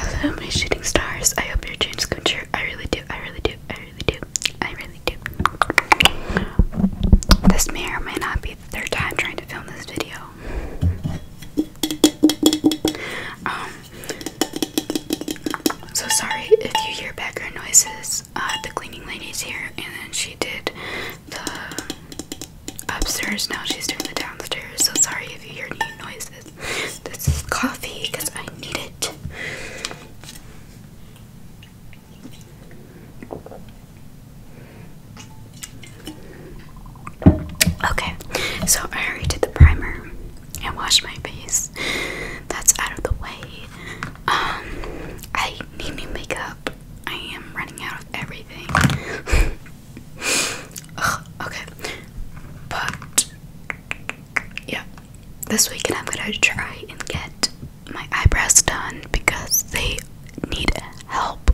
Hello, my shooting stars. I hope your dreams come true. I really do. I really do. I really do. I really do. This may or may not be the third time trying to film this video. Um, so sorry if you hear background noises. Uh, the cleaning lady's here, and then she did the upstairs now. She's doing the downstairs. So sorry if you hear any noises. This is coffee because I need it. Okay, so I already did the primer and washed my face. That's out of the way. Um, I need new makeup. I am running out of everything. okay, but yeah, this weekend I'm gonna try and get my eyebrows done because they need help.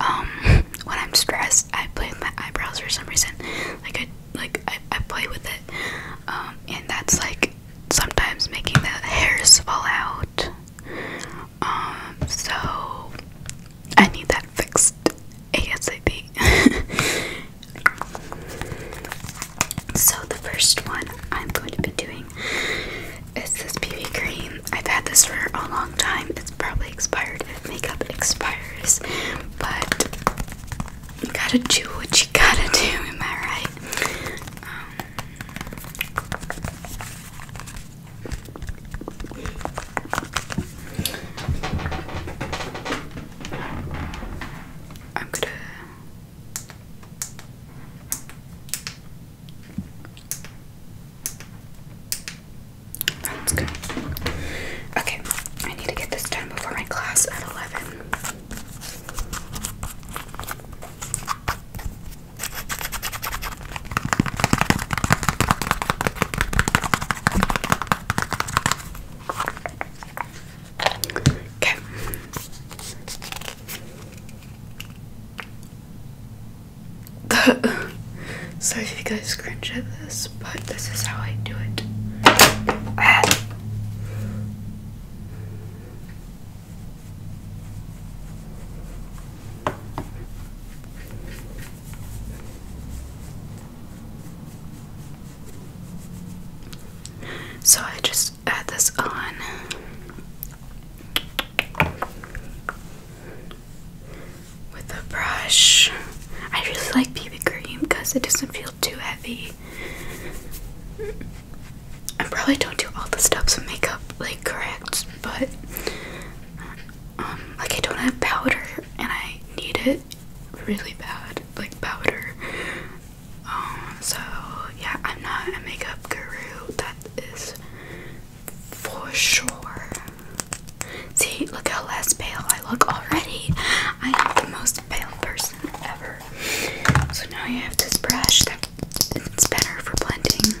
Um, when I'm stressed, I play with my eyebrows for some reason. Like I like I, play with it, um, and that's like sometimes making the hairs fall out. Um, so I need that fixed ASAP. so the first one I'm going to be doing is this BB cream. I've had this for a long time. It's probably expired makeup expires, but you gotta do what you gotta do, am I right? Um, I'm gonna Let's Okay, I need to get this done before my class at 11. Okay. Sorry if you guys cringe at this, but this is how I do it. So I just add this on. With a brush. I really like BB cream because it doesn't feel too heavy. I probably don't do all the steps of makeup like correct, but um, like I don't have powder and I need it really bad, like powder. Um, so yeah, I'm not a makeup guru, that is for sure. See, look how less pale I look already. I am the most pale person ever. So now I have this brush that it's better for blending.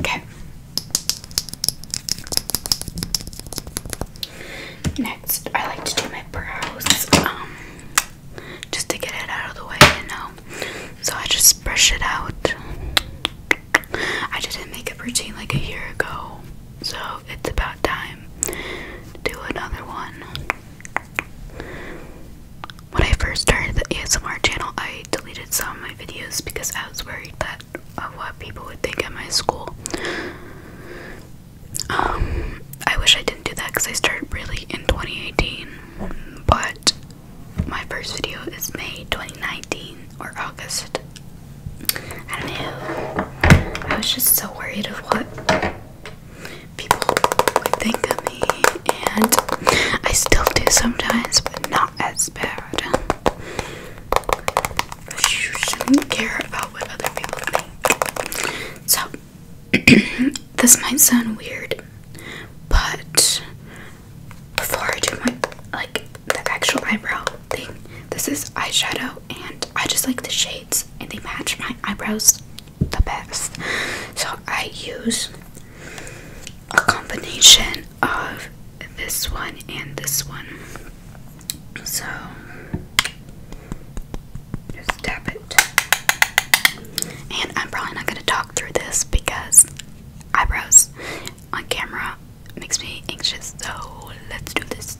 Okay. Next, I like to do my brows, um, just to get it out of the way, you know. So I just brush it out. I did a makeup routine like a year ago, so it's about time to do another one. When I first started the ASMR channel, I deleted some of my videos because I was worried that of what people would think at my school. Um, I wish I didn't do that because I started really in 2018, but my first video is May 2019 or August. I don't know. I was just so worried of what people would think of me and I still do sometimes, but not as bad. But you shouldn't care about what other people think. So, this might sound weird, but before I do my like the actual eyebrow thing, this is eyeshadow, and I just like the shades and they match my eyebrows the best. So I use a combination of this one and this one. So just tap it. And I'm probably not going to talk through this because eyebrows on camera makes me anxious. So let's do this.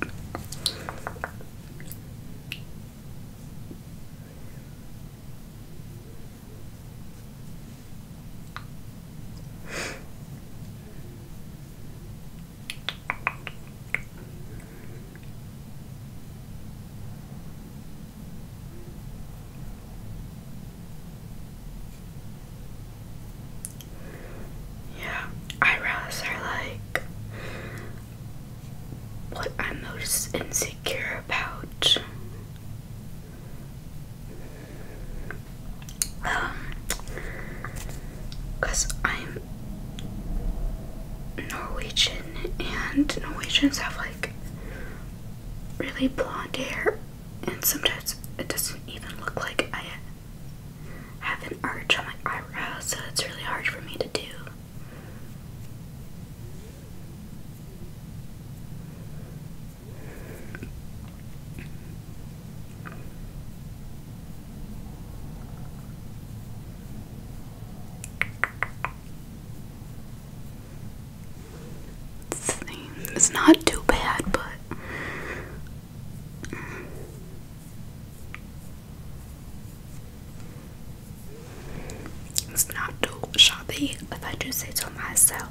Yeah, eyebrows are like what I'm most insecure about. Um, because I'm Norwegian and Norwegians have like really blonde hair, and sometimes it doesn't even look like I have an arch on my eyebrows, so it's really hard for me to do. It's not too bad, but. It's not too shabby, if I do say so myself.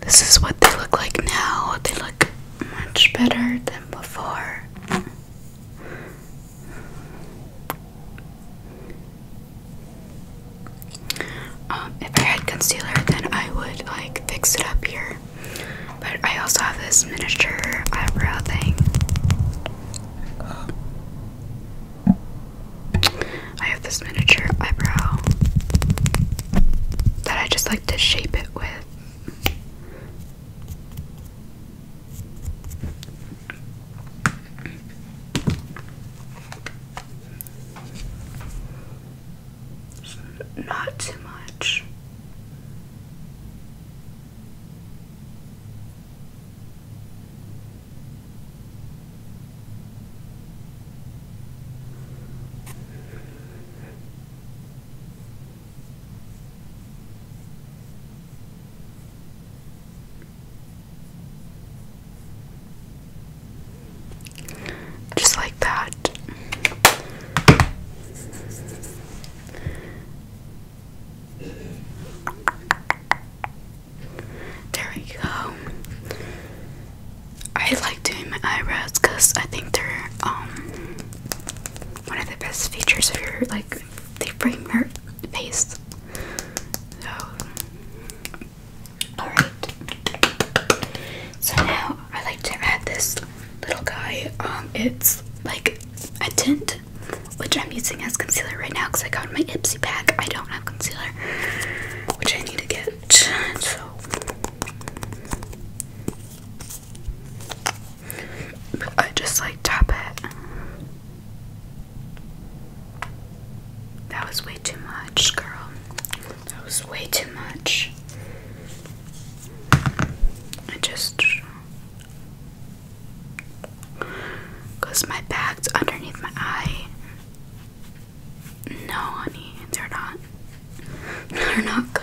This is what they look like now. They look much better than before. Um, if I had concealer, then I would like fix it up here. But I also have this miniature eyebrow thing. I have this miniature eyebrow that I just like to shape it with not too much. Just like that. There we go. I like doing my eyebrows because I think they're um one of the best features of your like they frame your face. So Alright. So now I like to add this little guy. Um, it's like a tint, which I'm using as concealer right now because I got my Ipsy pack. I don't have concealer, which I need to get. So I just like tap it. That was way too much, girl. That was way too much. I just. Because my bag's underneath my eye. No, honey, they're not. They're not good.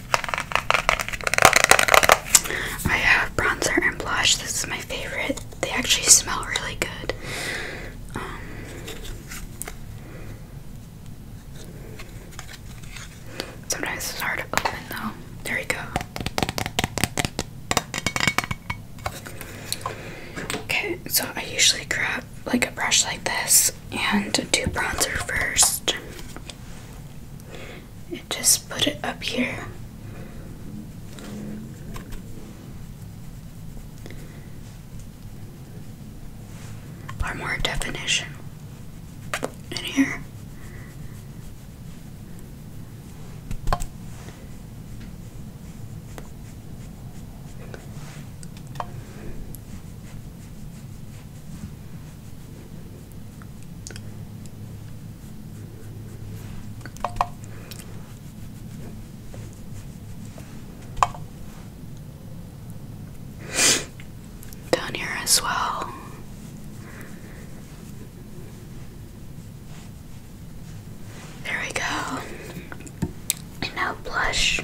I have bronzer and blush. This is my favorite. They actually smell really good. Um, sometimes it's hard to open though. There we go. Okay, so I usually grab like a brush like this and do bronzer first and just put it up here. more definition in here. Down here as well. There we go. And now blush.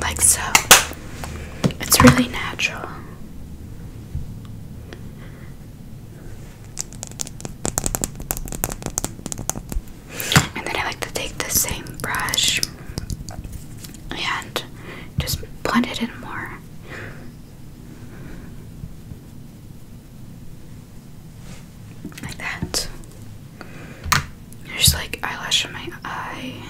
Like so. It's really natural. And then I like to take the same brush and just blend it in more. Like that. There's like eyelash in my eye.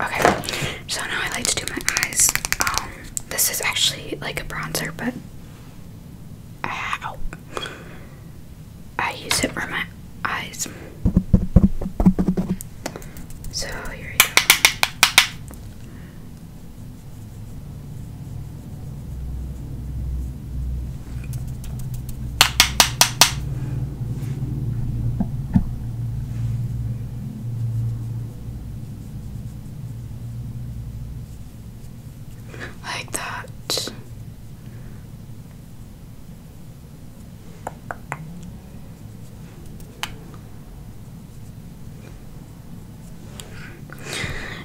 Okay, so now I like to do my eyes. Um, this is actually like a bronzer, but I use it for my eyes. So here we go. Like that.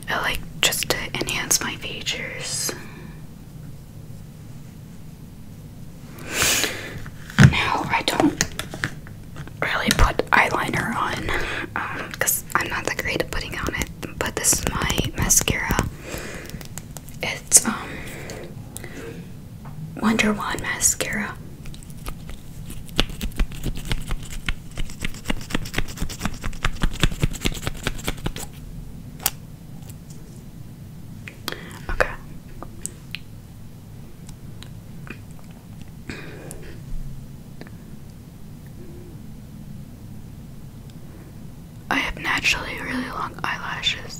I like just to enhance my features. Now I don't really put eyeliner on because um, I'm not that great at putting on it, but this is my mascara. It's um, Wonder Wand mascara. Okay. I have naturally really long eyelashes.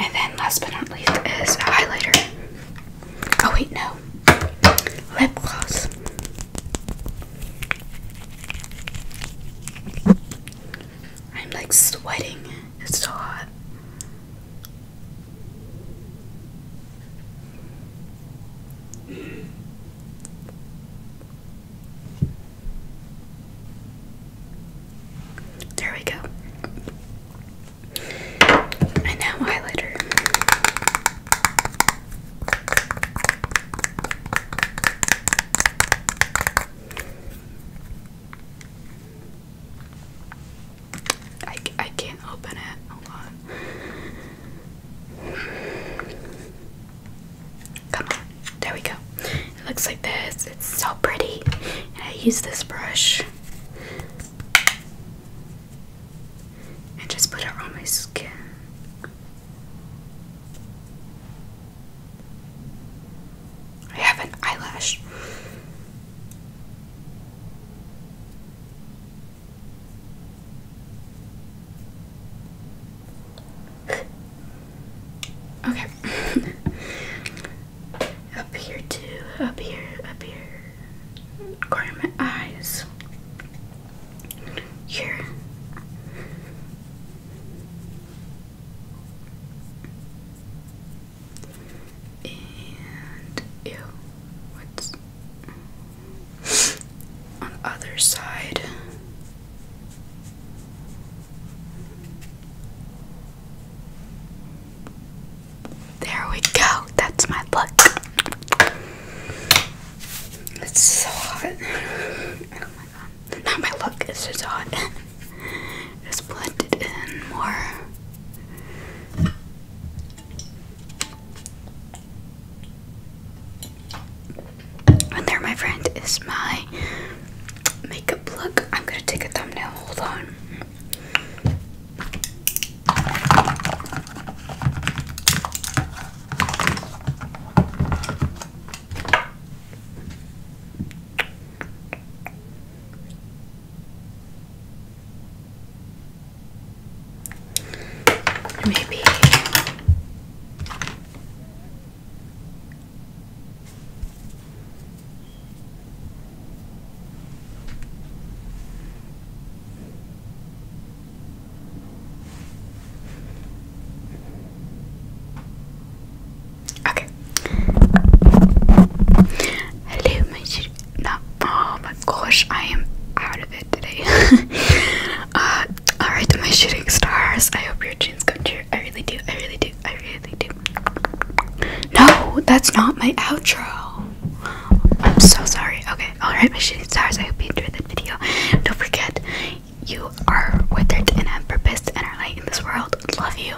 And then, last but not least, is highlighter. Oh, wait, no. Lip gloss. I'm like sweating. It's so hot. There we go. And now highlighter. I, I can't open it. Hold on. Come on, there we go. It looks like this. It's so pretty. I use this brush and just put it on my skin. I have an eyelash. Okay. up here too. Up here. Up here. Corner my eyes. Here. And ew. What's on the other side. There we go. That's my look. It's so hot. Oh my god. Not my look, it's just hot. Just blend in more. And there, my friend, is my makeup look. I'm gonna take a thumbnail. Hold on. Maybe Okay. Hello, my dear no, oh my gosh, I am out of it today. Uh, alright, my shooting stars, I hope your dreams come true. I really do, I really do, I really do. No, that's not my outro. I'm so sorry. Okay, alright, my shooting stars, I hope you enjoyed the video. Don't forget, you are withered and unpurposed and are light in this world. Love you.